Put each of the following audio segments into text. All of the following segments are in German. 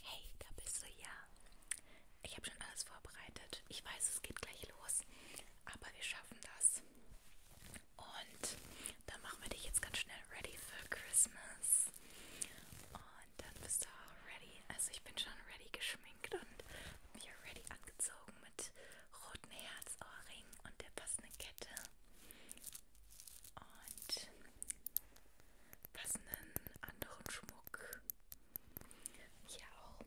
Hey, da bist du ja. Ich habe schon alles vorbereitet. Ich weiß, es geht gleich los, aber wir schaffen das. Und dann machen wir dich jetzt ganz schnell ready für Christmas. Und dann bist du auch ready. Also ich bin schon ready geschminkt und mir ready angezogen mit roten Herzohrring und der passenden Kette. Und passenden anderen Schmuck. Hier auch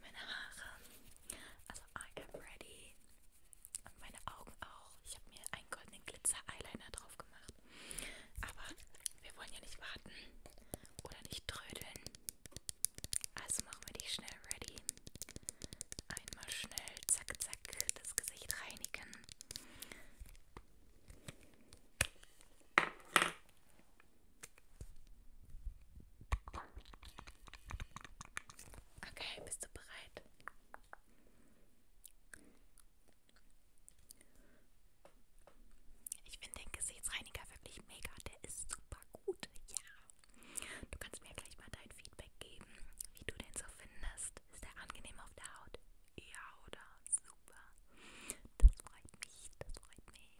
meine Haare. Also I am ready. Und meine Augen auch. Ich habe mir einen goldenen Glitzer-Eyeliner drauf gemacht. Aber wir wollen ja nicht warten oder nicht trödeln. Also machen wir dich schnell ready. Einmal schnell, zack, zack, das Gesicht reinigen. Okay, bist du bereit? Ich finde den Gesichtsreiniger wirklich mega. Der ist super gut. Ja. Du kannst mir gleich mal dein Feedback geben, wie du den so findest hast. Ist er angenehm auf der Haut? Ja, oder? Super. Das freut mich, das freut mich.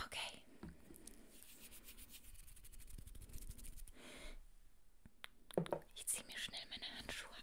Okay. Ich ziehe mir schnell meine Handschuhe an.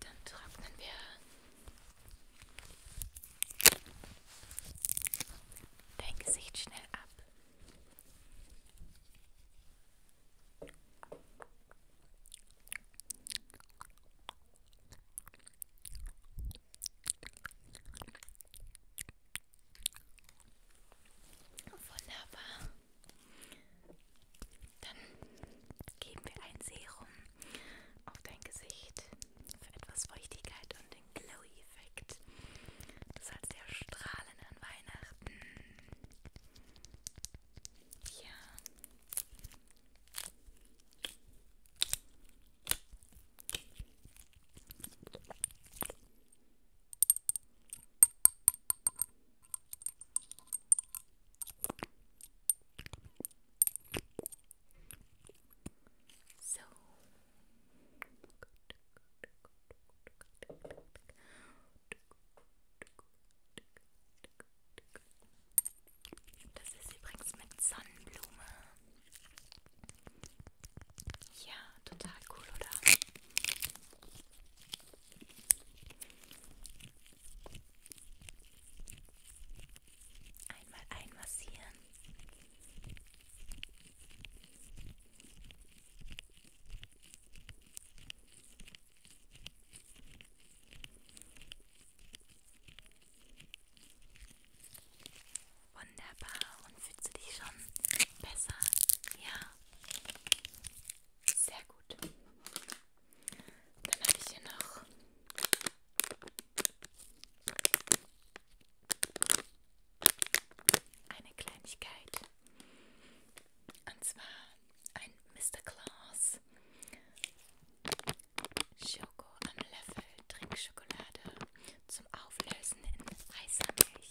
Dann trocknen wir dein Gesicht schnell ab. Wunderbar. Dann geben wir ein Serum auf dein Gesicht für etwas Feuchtigkeit und den Glow-Effekt. Du sollst ja strahlen an Weihnachten. Ja. So. Das ist übrigens mit Sonnenblume. Ja, total cool, oder? Einmal einmassieren. Wunderbar. Und fühlst du dich schon besser? Ja. Sehr gut. Dann hatte ich hier noch eine Kleinigkeit. Und zwar ein Mr. Claus Schoko am Löffel Trinkschokolade zum Auflösen in weißer Milch.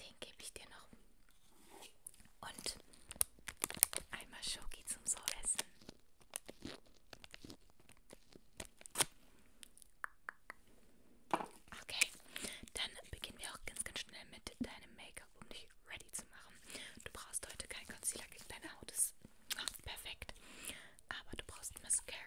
Den gebe ich dir noch. Und einmal Schoki zum So essen. Okay, dann beginnen wir auch ganz, ganz schnell mit deinem Make-up, um dich ready zu machen. Du brauchst heute kein Concealer, deine Haut ist oh, perfekt. Aber du brauchst Mascara.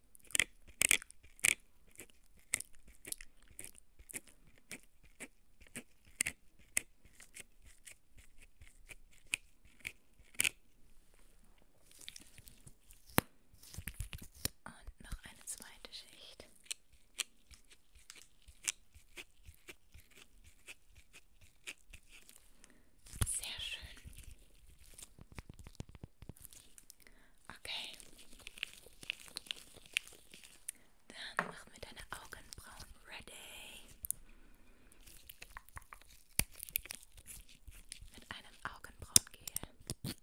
Und noch eine zweite Schicht. Sehr schön. Okay. Dann machen wir deine Augenbrauen ready. Mit einem Augenbrauengel.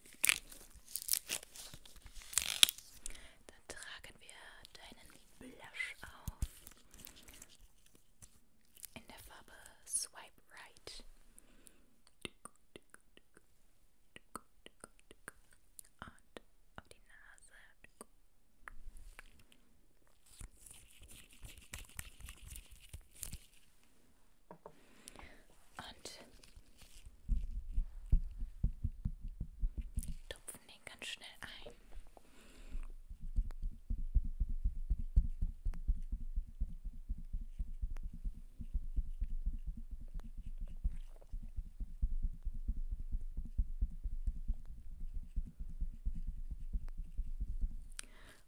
Dann tragen wir deinen Blush auf in der Farbe Swipe Right. Und auf die Nase und tupfen den ganz schnell ein.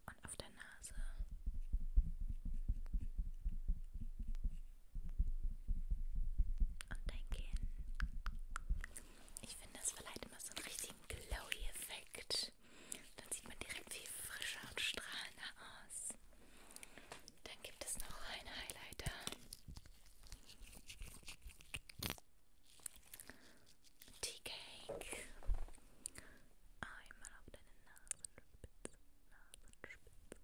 Und auf der Nase. Und dein Kinn. Ich finde, das verleiht immer so einen richtigen Glowy-Effekt. Dann sieht man direkt viel frischer und strahlender aus. Dann gibt es noch einen Highlighter. Tea Cake. Einmal auf deine Nasenspitze. Nasenspitze,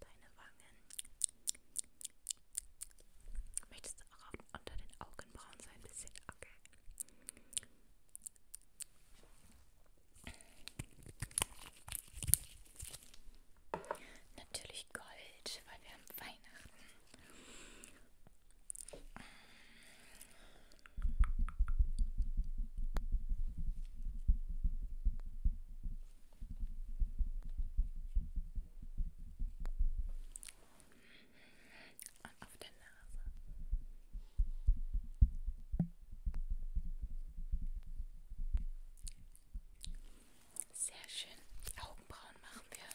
deine Wangen. Möchtest du auch unter den Augenbrauen so ein bisschen? Okay. Natürlich Gold, weil wir haben Weihnachten. Und auf der Nase. Sehr schön. Die Augenbrauen machen wir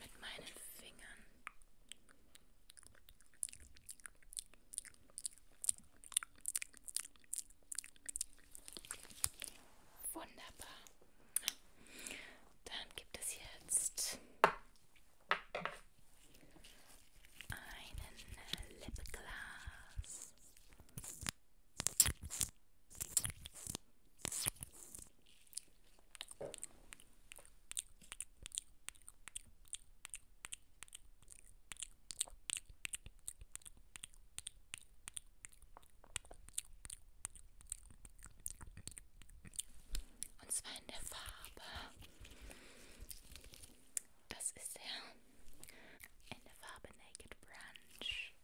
mit meinen Fingern. Wunderbar. Dann gibt es jetzt einen Lipglas. Und zwar in der Farbe. Das ist er. In der Farbe Naked Brunch.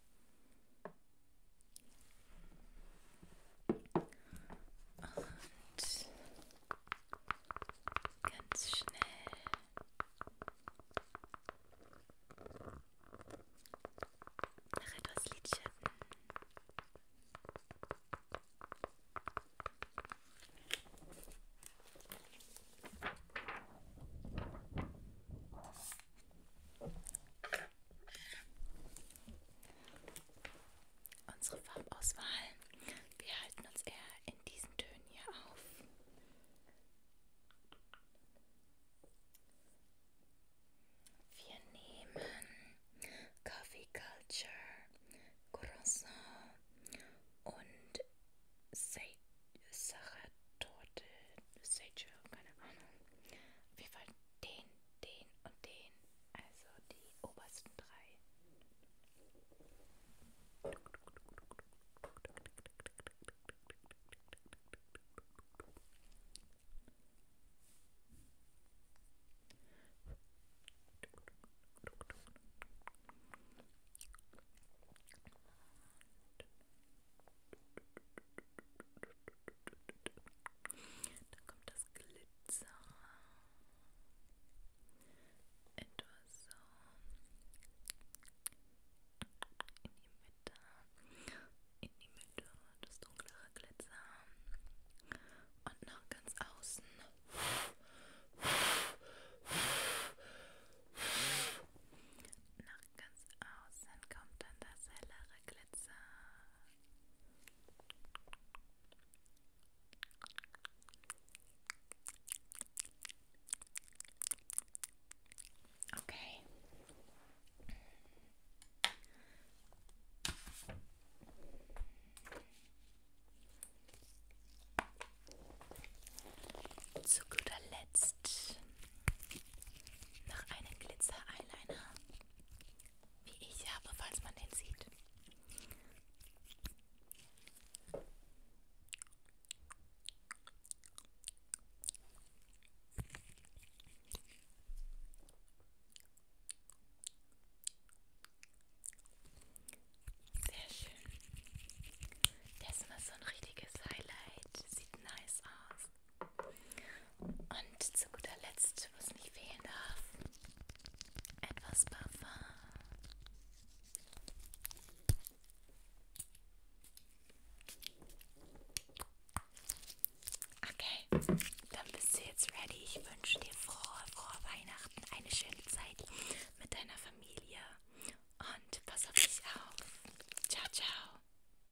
Und ganz schnell nach etwas Lidschatten unsere Farbauswahl. Wir halten uns eher in diesen Tönen hier auf. Wir nehmen Coffee Culture, Croissant und Sage, Sage, Torte, Sage, keine Ahnung. Wie weit den, den und den, also die obersten drei. Dann kommt das Glitzer. Etwas so in die Mitte. In die Mitte. Das dunklere Glitzer. Und noch ganz außen. Nach ganz außen kommt dann das hellere Glitzer. Okay. Zu guter Letzt noch einen Glitzer-Eyeliner wie ich habe, falls man den sieht. Sehr schön. Der ist immer so ein richtiges Highlight. Sieht nice aus. Und zu guter Letzt, was nicht fehlen darf, etwas Parfum. Okay, dann bist du jetzt ready. Ich wünsche dir frohe, frohe Weihnachten, eine schöne Zeit mit deiner Familie und pass auf dich auf. Ciao, ciao.